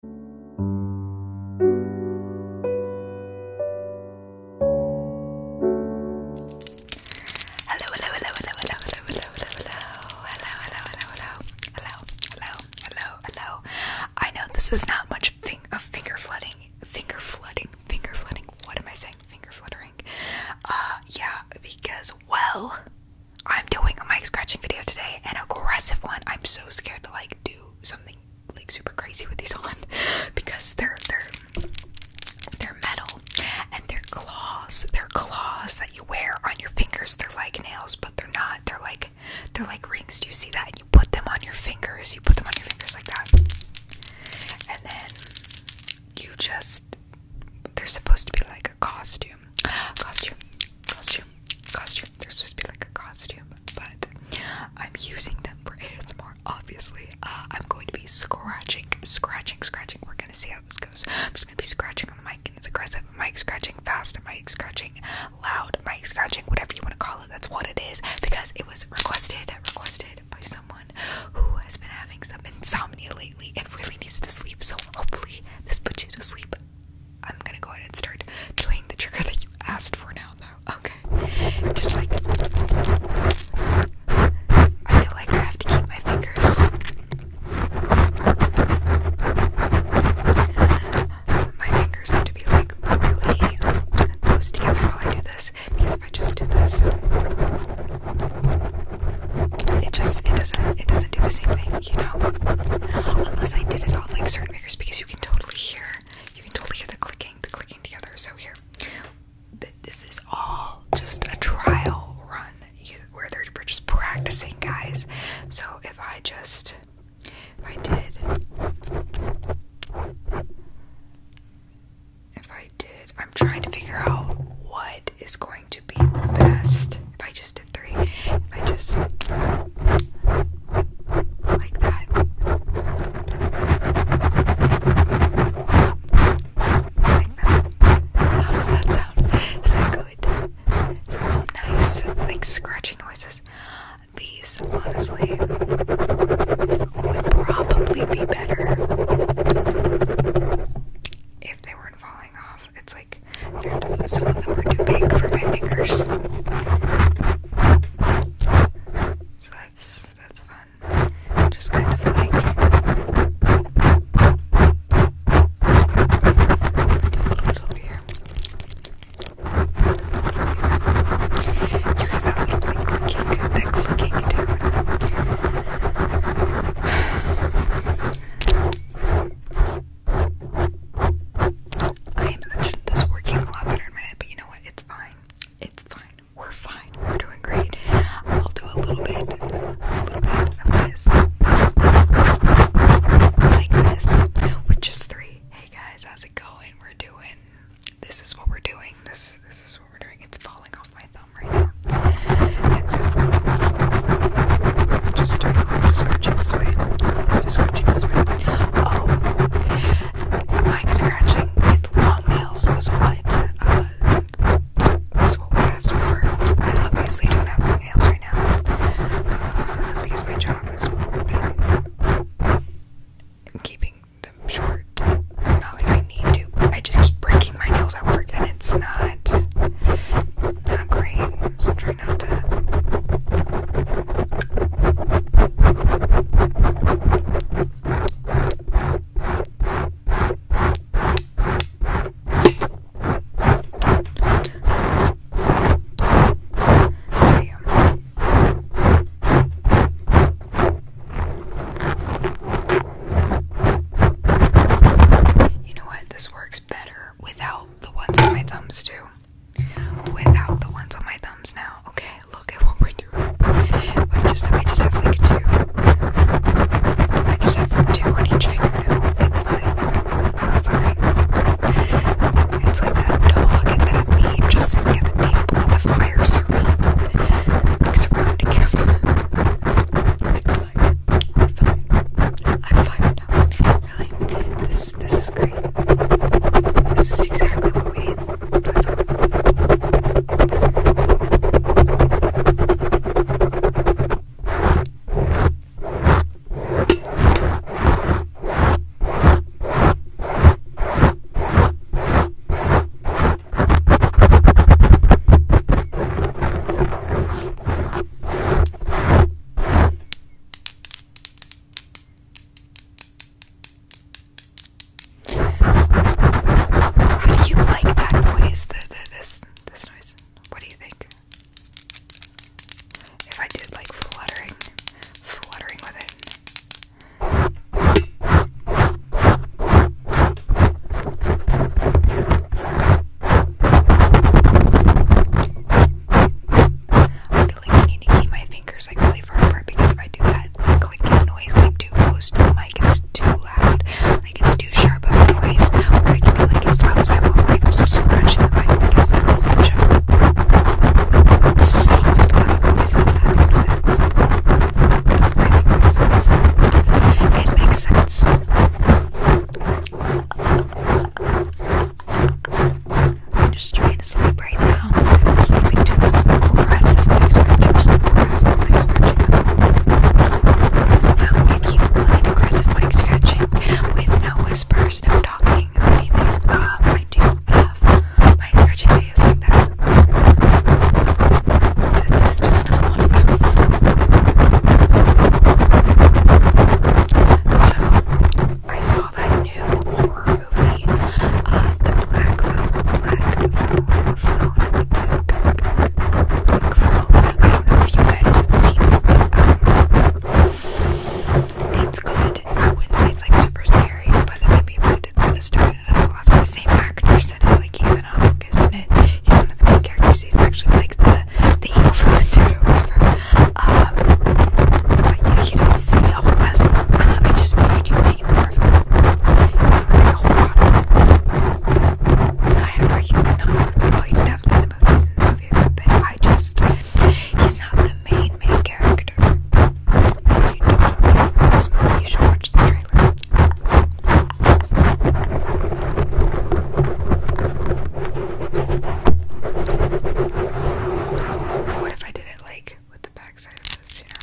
Hello, hello, hello, hello, hello, hello, hello, hello, hello, hello, hello, hello, hello, hello, I know this is not much of finger flooding, finger flooding, finger flooding. What am I saying? Finger fluttering. Uh, yeah, because well, I'm doing a mic scratching video today, an aggressive one. I'm so so scared to like do something like super crazy with these on because they're they're they're metal and they're claws. They're claws that you wear on your fingers. They're like nails, but they're not. They're like they're like rings. Do you see that? you put them on your fingers. You put them on your fingers like that. And then you just they're supposed to be like a costume. Costume. Costume. Costume they supposed to be like a costume, but I'm using them for ASMR, obviously. Uh, I'm going to be scratching, scratching, scratching. We're gonna see how this goes. I'm just gonna be scratching on the mic, and it's aggressive. Mic scratching, fast mic scratching, loud mic scratching, whatever you want to call it. That's what it is because it was requested, requested by someone who has been having some insomnia lately and really needs to sleep. So hopefully this puts you to sleep. I'm gonna go ahead and start doing the trigger that you asked for now, though. Okay. Just like. I feel like I have to keep my fingers. My fingers have to be like really close together while I do this because if I just do this, it just it doesn't it doesn't do the same thing you know, unless I did it on like certain makers because you can totally hear, you can totally hear the clicking, the clicking together. So here, this is all just a trial run you, where they're we're just practicing, guys. So if I just, if I did, if I did, I'm trying to figure out what what is going to be the best. If I just did three, if I just like that. Like that. How does that sound? Is that good? That's so nice, like scratchy noises. These honestly would probably be better if they weren't falling off. It's like they're, some of them are too big for my fingers. So that's that's fun. Just kind of like over here. You hear that little like, clicking, that clicking tone. I imagined this working a lot better in my head, but you know what? It's fine. It's fine. We're fine. We're doing great. I'll do a little bit, a little bit of this, like this, with just three. Hey guys, how's it going? We're doing. This is what we're doing. This this is what we're doing. It's falling off my thumb thumb right I'm just starting off just scratching this way. I'm Just scratching this way. Oh, like scratching with long nails was what uh, was what we asked for. I obviously don't have long nails right now uh, because my job is keeping them short. Not like I need to. I just keep breaking my nails at work and it's not not great. So I'm trying not to you what? This works better without the ones on my thumbs, too. Without the ones on my thumbs now. Okay, look at what we're doing. I just, have two. I just have two on each fingernail. It's like fine. It's like that dog and that meme just sitting at the table with the fire surrounding, surrounding him fine. I'm fine. I'm fine now. Really, this this is great. This is exactly what we need. That's all. How do you like that noise? The, the, this this noise? What do you think? If I did like fluttering, fluttering with it. I feel like I need to keep my fingers like really far apart because if I do that like, clicking noise like too close to the mic, it's too loud. Like it's too sharp of a noise. Or I can be like as loud as I want when it comes to scratching the mic because that's such a soft loud noise. Does that make sense? makes sense. It makes sense. I'm just trying to sleep right now. I'm sleeping to this aggressive back scratching. Aggressive back scratching. Now, if you want an aggressive back scratching with no whispers, no talking, or anything, um, I do have my scratching so I saw that new horror movie, uh, the Black Phone, Black Phone, I don't know if you guys have it, it's good. I would say it's like super scary. It's by the same people who did and it a lot of the same actors. He's one of the main characters. He's actually like the the evil villain dude Um, but yeah, you not see a whole I just figured you of him. don't see a he's definitely the movies I just he's not the main main character. this movie, you should watch the trailer. What if I did it like with the back side of this, you know?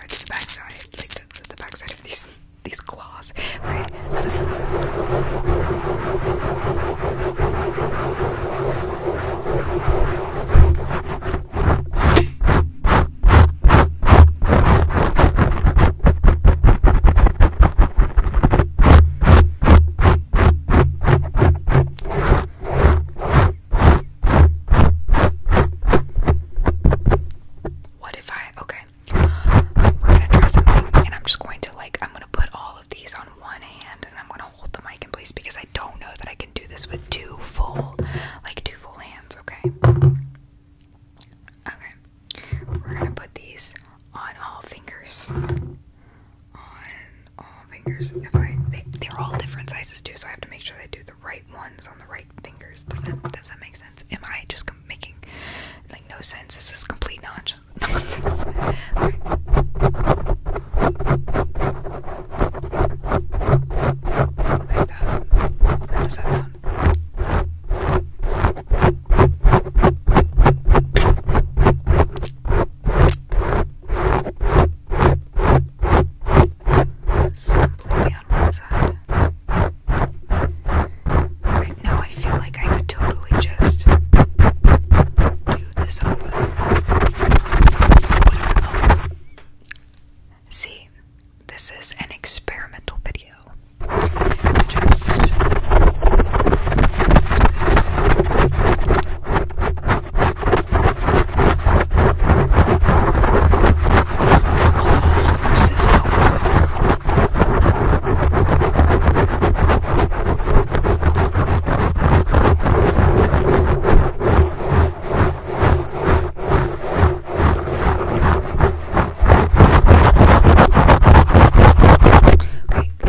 Right to the back side, like the, the, the back side of these these claws, right? How does that sound? What if I okay? We're gonna try something, and I'm just going to like I'm gonna put all of these on one hand, and I'm gonna hold the mic in place because I don't know that I can do this with two full, like two full hands, okay? Okay. We're gonna put these on all fingers. On all fingers. If they, are all different sizes too, so I have to make sure I do the right ones on the right fingers. Does that, does that make sense? Am I just making like no sense? This is complete nonsense such nonsense. like that. How does that sound? Simply on one side. Okay, now I feel like I could totally just do this See, this is an experimental video. Just this. Cold versus Okay,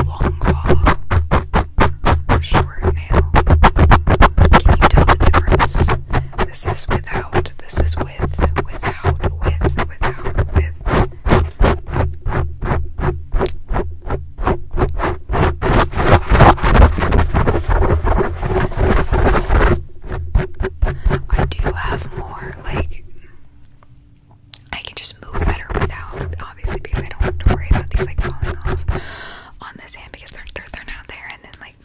long claw or short nail. Can you tell the difference? This is without, this is with, without, with, without, with. I do have more, like, I can just move better without, obviously, because I don't have to worry about these, like, falling off on this hand because they're, they're, they're not there, and then, like,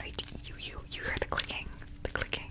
like, you, you, you hear the clicking, the clicking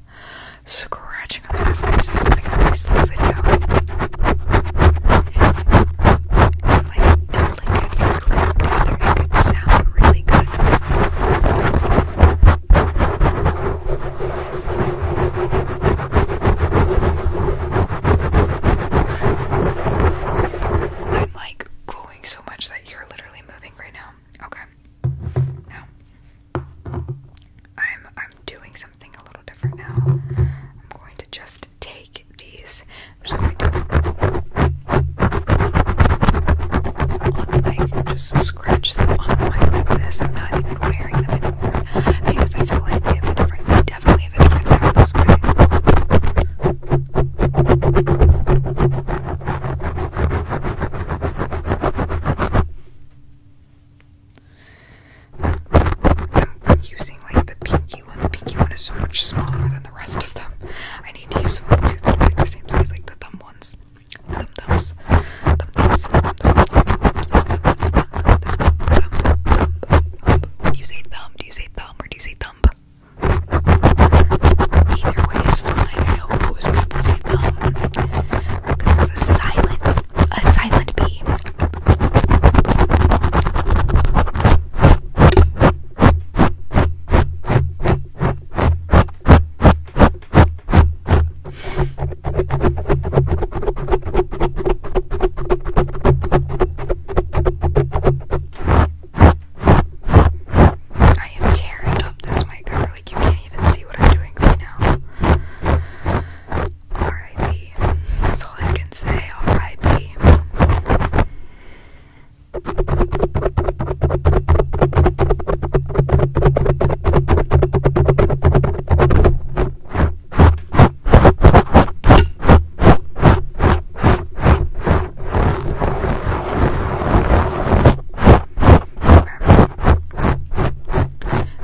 scratching on the aspects and something really slow video. like totally good sound really good. I'm like growing so much that you're literally moving right now. Okay. Now, I'm I'm doing something a little different now. I'm going to just take these. I'm just going to look like just scratch them on the mic like this. I'm not even wearing them anymore because I feel like they have a different. definitely a different sound this way. I'm using like the pinky one. The pinky one is so much smaller than the rest of them. I need to use one too that are like the same size, like the thumb ones. Thumb thumbs. Thumb thumbs. Thumb thumbs. When you say thumb, do you say thumb or do you say thump? Either way is fine. I know most people say thumb. There's a silent, a silent B. I am tearing up this mic, I like you can't even see what I'm doing right now. R.I.P. That's all I can say. R.I.P.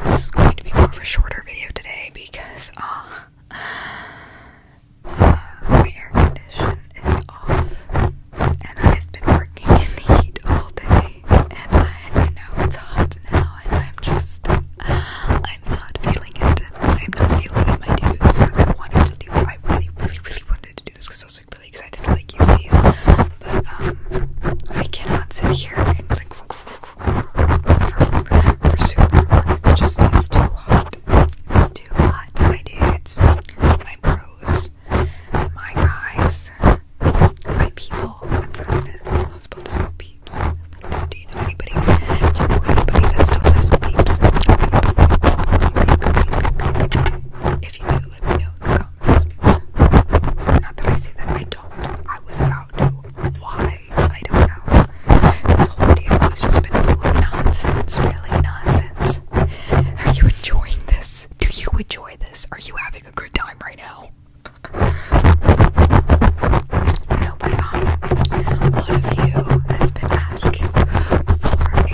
This is going to be more of a shorter video today because uh, uh my air condition is off and I've been working in the heat all day and I, I know it's hot now and I'm just, I'm not feeling it. I'm not feeling my dudes. I wanted to do I really, really, really wanted to do this because I was like really excited to like use these, but um, I cannot sit here and like for, for super. It's just it's too hot. It's too hot, my dudes, my bros, my guys, my people. I'm probably not supposed to say peeps. Do you know anybody? Do you know anybody that still says peeps? If you do, let me know in the not that I say that I don't. I was about to. Why? I don't know. This whole video has just been full of nonsense, really nonsense. Are you enjoying this? Do you enjoy this? Are you having a good time right now? I but um, one of you has been asking for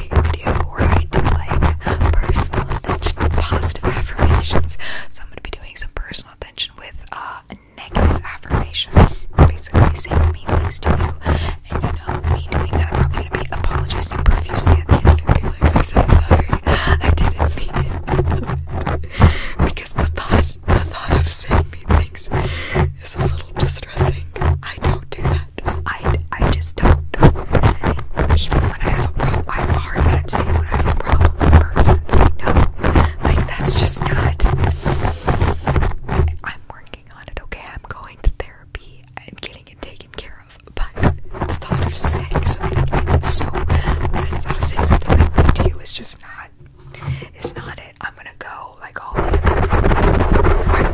create a video I do like personal attention positive affirmations. So I'm gonna be doing some personal attention with uh negative affirmations. Basically saying mean things to you. And you know, me doing that I'm probably gonna be apologizing profusely at the end of it and be like, I didn't mean it. because the thought the thought of saying mean things is a little distressing. I don't do that. I, I just don't. Even when I have a problem, I have hard time saying when I have a problem with a person. like that's just not. I'm working on it. Okay, I'm going to therapy and getting it taken care of. But the thought of saying something so, the thought of saying something to you is just not. It's not it. I'm gonna go like all.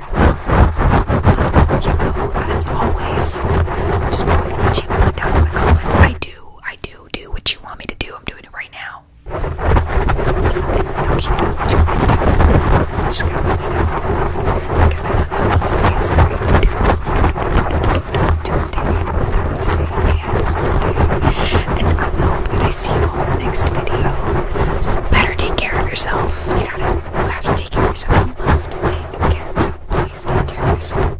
you know, as always, i just probably gonna let you know down in the comments. I do, I do do what you want me to do. I'm doing it right now. And keep doing what you want me to do. just gotta let me know. I said, I love all Thursday, and Friday. And I hope that I see you all in the next video. So better take care of yourself. You gotta you have to take care of yourself. You must take care of yourself. Please take care of yourself.